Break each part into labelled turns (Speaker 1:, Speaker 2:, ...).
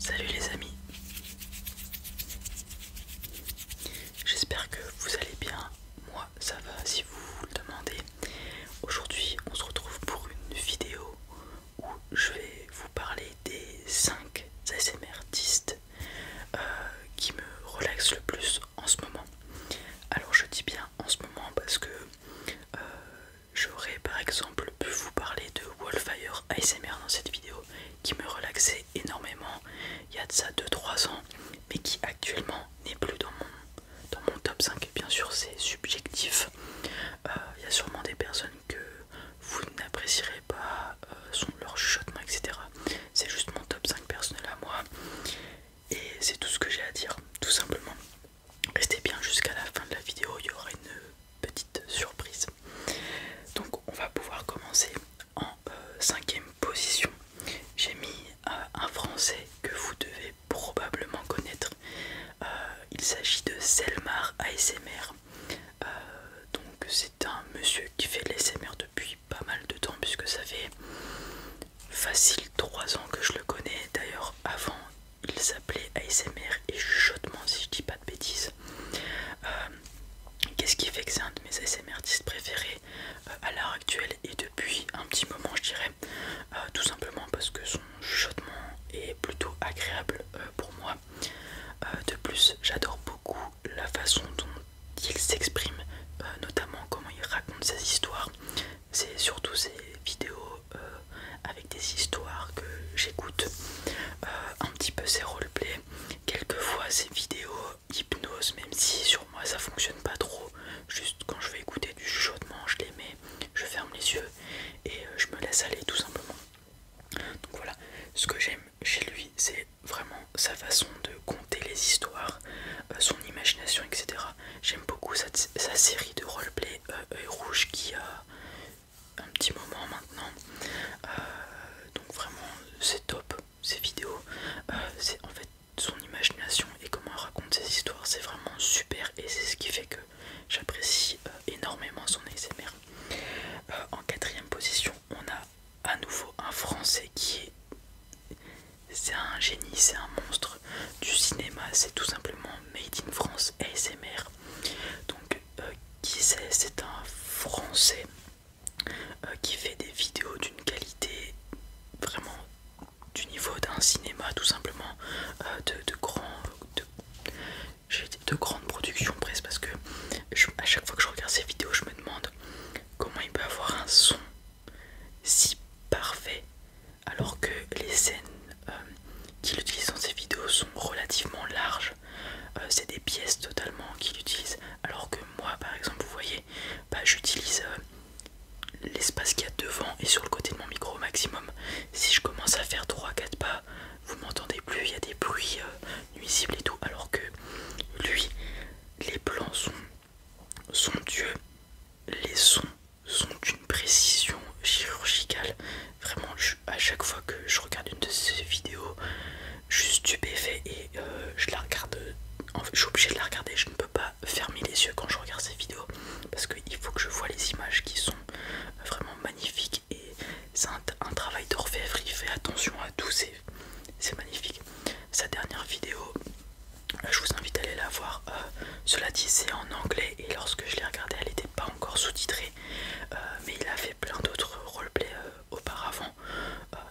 Speaker 1: Salut les amis, j'espère que vous allez bien, moi ça va si vous le demandez. Aujourd'hui on se retrouve pour une vidéo où je vais vous parler des 5 ASMRtistes euh, qui me relaxent le plus en ce moment. Alors je dis bien en ce moment parce que euh, J'aurais par exemple pu vous parler de Wallfire ASMR dans cette vidéo qui me relaxait énormément il y a de ça 2-3 ans mais qui actuellement n'est plus dans mon, dans mon top 5. Bien sûr c'est subjectif, euh, il y a sûrement des personnes que vous n'apprécierez pas euh, son, leur chuchotement etc. C'est juste mon top 5 personnel à moi et c'est tout ce que j'ai à dire tout simplement. Restez bien jusqu'à la fin de la vidéo, il y aura une petite surprise. Donc on va pouvoir commencer en euh, cinquième position. J'ai mis euh, un français que vous devez probablement connaître. Euh, il s'agit de Selmar ASMR. donc c'est un monsieur qui fait l'ASMR depuis pas mal de temps puisque ça fait facile 3 ans que je le connais. D'ailleurs avant il s'appelait ASMR et chuchotement si je dis pas de bêtises. Euh, qu'est-ce qui fait que c'est un de mes ASMR 10 préférés euh, à l'heure actuelle et depuis un petit moment je dirais euh, tout simplement parce que son chuchotement est plutôt agréable pour moi. de plus j'adore beaucoup la façon dont il s'exprime, notamment comment il raconte ses histoires c'est surtout ces vidéos euh, avec des histoires que j'écoute, euh, un petit peu ces roleplays, quelquefois ces vidéos hypnose, même si sur moi ça fonctionne pas trop, juste quand je vais écouter du chuchotement, je les mets, je ferme les yeux et euh, je me laisse aller tout simplement. Donc voilà, ce que j'aime chez lui, c'est vraiment sa façon de compter les histoires, son imagination, etc. J'aime beaucoup sa, série de roleplay euh, rouge qui a un petit moment maintenant. Euh, donc vraiment c'est top ces vidéos. Euh, c'est en fait son imagination et comment elle raconte ses histoires, c'est vraiment super et c'est ce qui fait que j'apprécie euh, énormément son ASMR. en quatrième position, on a à nouveau un français qui est. C'est un génie, c'est un monstre du cinéma, c'est tout simplement Made in France ASMR. Donc, euh, qui c'est C'est un Français euh, qui fait des vidéos d'une qualité vraiment du niveau d'un cinéma, tout simplement euh, de, de j'ai grandes productions presque parce que à chaque fois que je regarde ces vidéos je me demande comment il peut avoir un son si parfait alors que les scènes euh, qu'il utilise dans ses vidéos sont relativement larges. Euh, c'est des pièces totalement qu'il utilise, alors que moi, par exemple, vous voyez, bah, j'utilise euh, l'espace qu'il y a devant et sur le côté de mon micro au maximum. Si je commence à faire 3-4 pas, vous m'entendez plus, il y a des bruits nuisibles et tout, alors que lui, les plans sont dieux les sons sont d'une précision chirurgicale. Vraiment, à chaque fois que je regarde une de ces vidéos, je suis stupéfait et euh, je la regarde. je suis obligé de la regarder. Je ne peux pas fermer les yeux quand je regarde ces vidéos parce qu'il faut que je vois les images qui sont vraiment magnifiques et c'est un, un travail d'orfèvre. Il fait attention à tout, c'est magnifique. Sa dernière vidéo je vous invite à aller la voir. Euh, cela dit, c'est en anglais et lorsque je l'ai regardé elle n'était pas encore sous-titrée. Euh, mais il a fait plein d'autres roleplays euh, auparavant,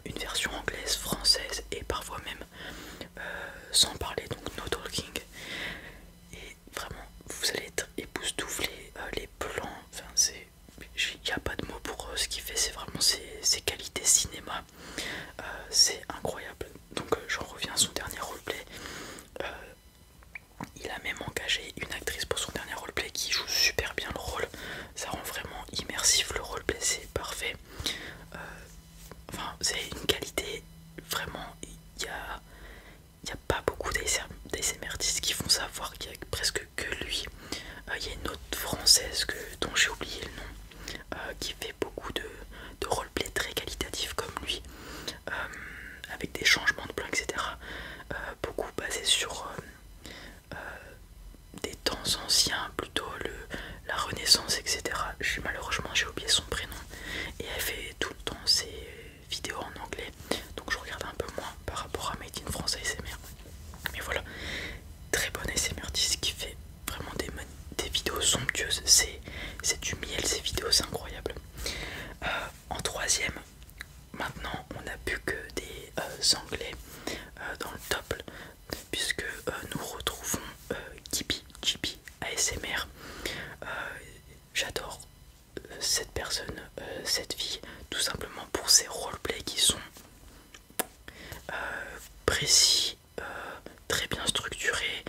Speaker 1: une version anglaise, française et parfois même sans parler, donc no talking. Et vraiment, vous allez être époustouflé, les plans, enfin, il n'y a pas de mots pour eux ce qu'il fait, c'est vraiment ses, qualités cinéma, c'est incroyable donc euh, j'en reviens à son dernier roleplay. Euh, il a même engagé une actrice pour son dernier roleplay qui joue super bien le rôle. Ça rend vraiment immersif le roleplay, c'est parfait. Euh, enfin, c'est une qualité vraiment. Il n'y a, pas beaucoup d'ASMRtistes qui font savoir qu'il n'y a presque que lui. Il y a une autre française dont j'ai oublié le nom euh, qui fait beaucoup de, roleplay très qualitatif comme lui, euh, avec des changements de plan, etc. Euh, beaucoup basé sur des temps anciens, plutôt le, la Renaissance, etc. malheureusement, j'ai oublié son prénom et elle fait tout le temps ses vidéos en anglais, donc je regarde un peu moins par rapport à Made in France ASMR. Mais voilà, très bonne ASMR qui fait vraiment des, des vidéos somptueuses. C'est du miel ces vidéos, c'est incroyable. Euh, en troisième, maintenant on n'a plus que des euh, anglais euh, dans le top, puisque nous retrouvons Gibi, ASMR. J'adore cette personne, cette fille, tout simplement pour ses roleplays qui sont précis, très bien structuré,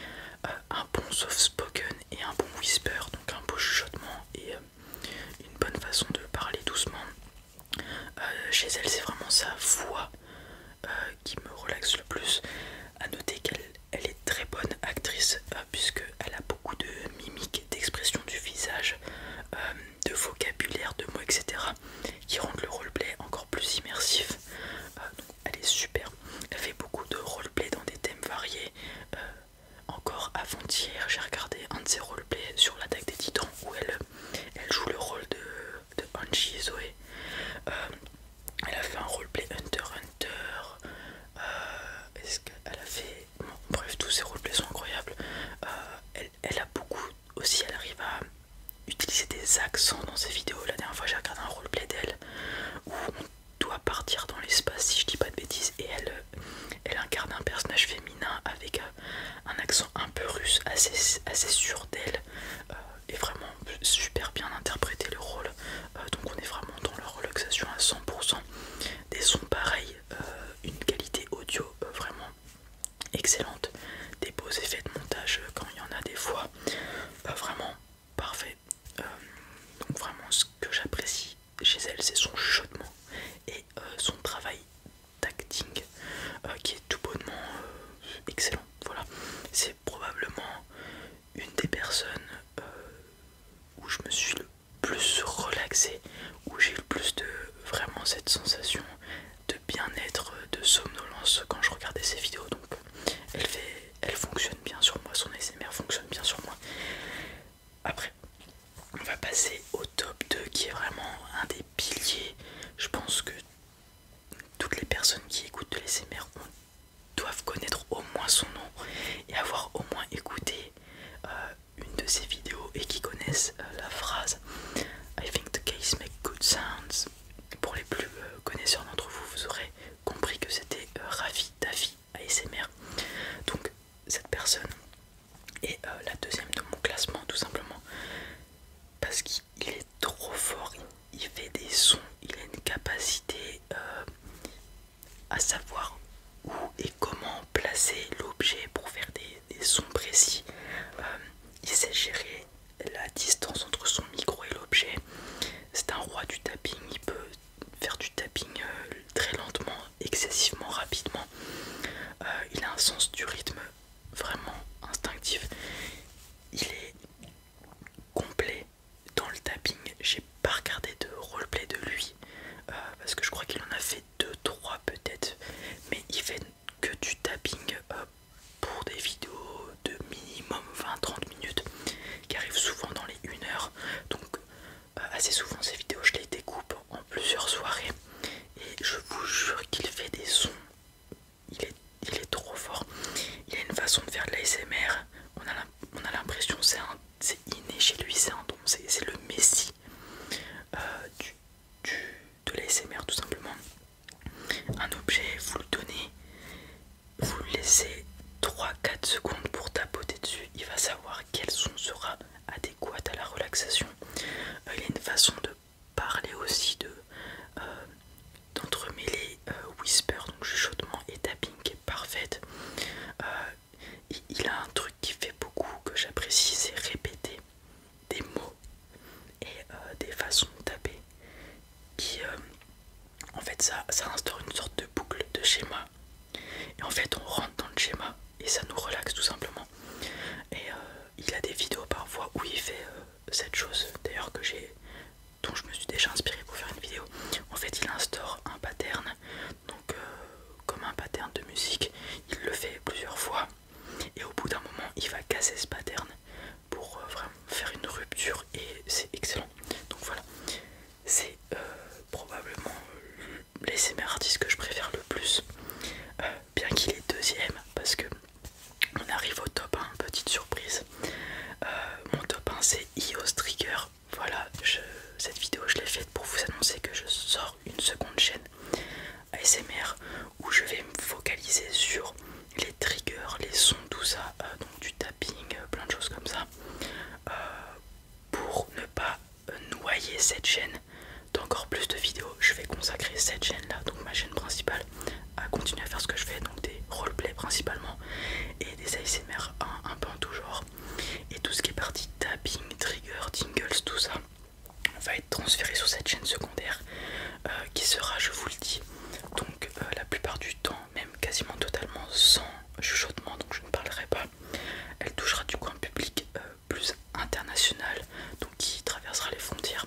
Speaker 1: euh, un bon soft spoken et un bon whisper, donc un beau chuchotement et euh, une bonne façon de parler doucement. Euh, chez elle, c'est vraiment sa voix qui me relaxe le plus. À noter qu'elle est très bonne actrice puisque elle a beaucoup de mimiques, d'expressions du visage, de vocabulaire, de mots, etc. qui rendent le roleplay encore plus immersif. Euh, elle est super elle fait beaucoup de roleplay dans des thèmes variés euh, encore avant-hier j'ai regardé un de ses roleplays sur l'attaque des titans où elle, joue le rôle de, Angie Zoé euh, elle a fait un roleplay Hunter Hunter est-ce qu'elle a fait bref tous ses roleplays sont incroyables elle a beaucoup aussi elle arrive à utiliser des accents dans ses vidéos. La dernière fois j'ai regardé un roleplay d'elle où on doit partir dans l'espace si je dis pas de bêtises et elle, elle incarne un personnage féminin avec euh, un accent un peu russe assez, sûr d'elle euh, et vraiment super bien interprété le rôle. Euh, donc on est vraiment dans la relaxation à 100%. Des sons pareils, une qualité audio vraiment excellente, des beaux effets de montage euh, quand il y en a des fois, pas vraiment parfait. Euh, donc vraiment ce que j'apprécie chez elle c'est son chaudement et euh, son travail d'acting qui est tout bonnement excellent. Voilà, c'est probablement une des personnes où je me suis le plus relaxé, où j'ai le plus de vraiment cette sensation de bien-être, euh, de somnolence quand je regardais ses vidéos. Donc elle, fait, elle fonctionne bien sur moi, son ASMR fonctionne bien sur moi. Après, on va passer au top 2 qui est vraiment un des piliers. Je pense que toutes les personnes qui écoutent de l'ASMR doivent connaître au moins son nom et avoir au moins écouté euh, une de ses vidéos et qui connaissent euh, la phrase I think the case makes good sounds. Pour les plus euh, connaisseurs d'entre vous, vous aurez compris que c'était euh, Ravi Davi ASMR. Donc cette personne est euh, la deuxième de mon classement tout simplement parce qu'il est trop fort, il fait des sons, il a une capacité à savoir où et comment placer l'objet pour faire des, sons précis. Euh, il sait gérer la distance entre son micro et l'objet. C'est un roi du tapping, il peut faire du tapping euh, très lentement, excessivement rapidement. Euh, il a un sens du rythme vraiment instinctif. Il est complet dans le tapping. J'ai pas regardé de roleplay de lui parce que je crois qu'il en a fait deux trois peut-être, mais il fait que du tapping euh, pour des vidéos de minimum 20-30 minutes qui arrivent souvent dans les 1 heure. Donc euh, assez souvent ces vidéos je les découpe en plusieurs soirées et je vous jure qu'il fait des sons. Il est, il est trop fort. Il a une façon de faire de l'ASMR. On a l'impression c'est inné chez lui, c'est un don, c'est le messie euh, du, de de l'ASMR tout simplement. Un objet, vous le donnez, vous le laissez 3-4 secondes pour tapoter dessus, il va savoir quel son sera adéquat à la relaxation. Euh, il y a une façon de parler aussi de euh, d'entremêler euh, whisper, donc chuchotement et tapping qui est parfaite il a un truc qui fait beaucoup que j'apprécie, c'est répéter des mots et euh, des façons de taper qui euh, en fait ça, instaure une sorte de boucle de schéma et en fait on rentre dans le schéma et ça nous relaxe tout simplement et euh, il a des vidéos parfois où il fait cette chose d'ailleurs que j'ai dont je me suis déjà inspiré pour faire une vidéo en fait il instaure un pattern donc euh, comme un pattern de musique, il le fait plusieurs fois et au bout d'un moment il va casser ce pattern pour euh, vraiment faire une rupture et c'est excellent. Donc voilà, c'est euh, probablement les l'ASMR artiste que je préfère le plus, bien qu'il est deuxième parce que on arrive au top 1, petite surprise. mon top 1 c'est IOS e Trigger. Voilà, cette vidéo je l'ai faite pour vous annoncer que je sors une seconde chaîne ASMR où je vais me focaliser sur les triggers, les sons, tout ça, euh, donc du tapping, euh, plein de choses comme ça, euh, pour ne pas noyer cette chaîne d'encore plus de vidéos. Je vais consacrer cette chaîne-là, donc ma chaîne principale, à continuer à faire ce que je fais, donc des roleplays principalement et des ASMR un, peu en tout genre et tout ce qui est parti tapping, trigger, tingles, tout ça va être transféré sur cette chaîne secondaire euh, qui sera, je vous le dis, donc euh, la plupart du temps, même quasiment totalement sans chuchotement, donc je ne parlerai pas. Elle touchera du coup un public euh, plus international, donc qui traversera les frontières.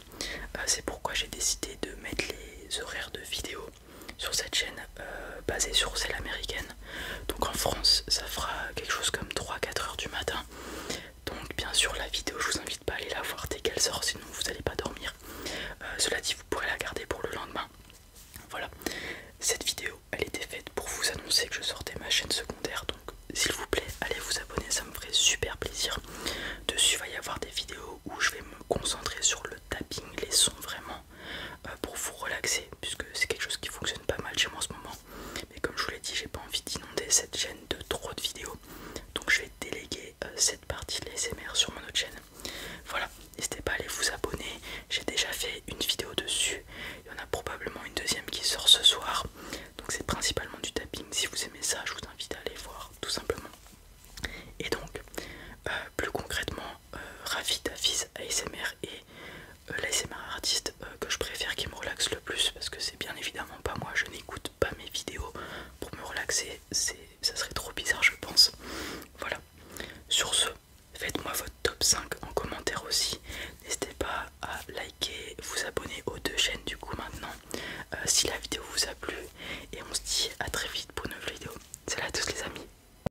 Speaker 1: C'est pourquoi j'ai décidé de mettre les horaires de vidéo sur cette chaîne basée sur celle américaine donc en France, ça fera quelque chose comme 3-4 heures du matin. Donc bien sûr la vidéo, je vous invite pas à aller la voir dès qu'elle sort, sinon vous n'allez pas dormir. Euh, cela dit, vous pourrez la garder pour le lendemain. Voilà. Cette vidéo, elle était faite pour vous annoncer que je sortais ma chaîne secondaire. Donc s'il vous plaît, allez vous abonner, ça me ferait super plaisir. Dessus, il va y avoir des vidéos où je vais me concentrer sur le tapping, les sons vraiment euh, pour vous relaxer puisque c'est quelque chose qui fonctionne pas mal chez moi en ce moment mais comme je vous l'ai dit j'ai pas envie d'inonder cette chaîne de trop de vidéos donc je vais déléguer euh, cette partie de l'ASMR sur mon autre chaîne voilà n'hésitez pas à aller vous abonner j'ai déjà fait une vidéo dessus il y en a probablement une deuxième qui sort ce soir donc c'est principalement du tapping si vous aimez ça je vous invite à aller voir tout simplement et donc euh, plus concrètement ravi Ravi ASMR et euh, l'ASMR artiste euh, que je préfère qui me relaxe le plus parce que c'est bien évidemment pas moi, je n'écoute pas mes vidéos pour me relaxer, ça serait trop bizarre je pense. Voilà, sur ce, faites-moi votre top 5 en commentaire aussi, n'hésitez pas à liker, vous abonner aux deux chaînes du coup maintenant euh, si la vidéo vous a plu et on se dit à très vite pour une nouvelle vidéo. Salut à tous les amis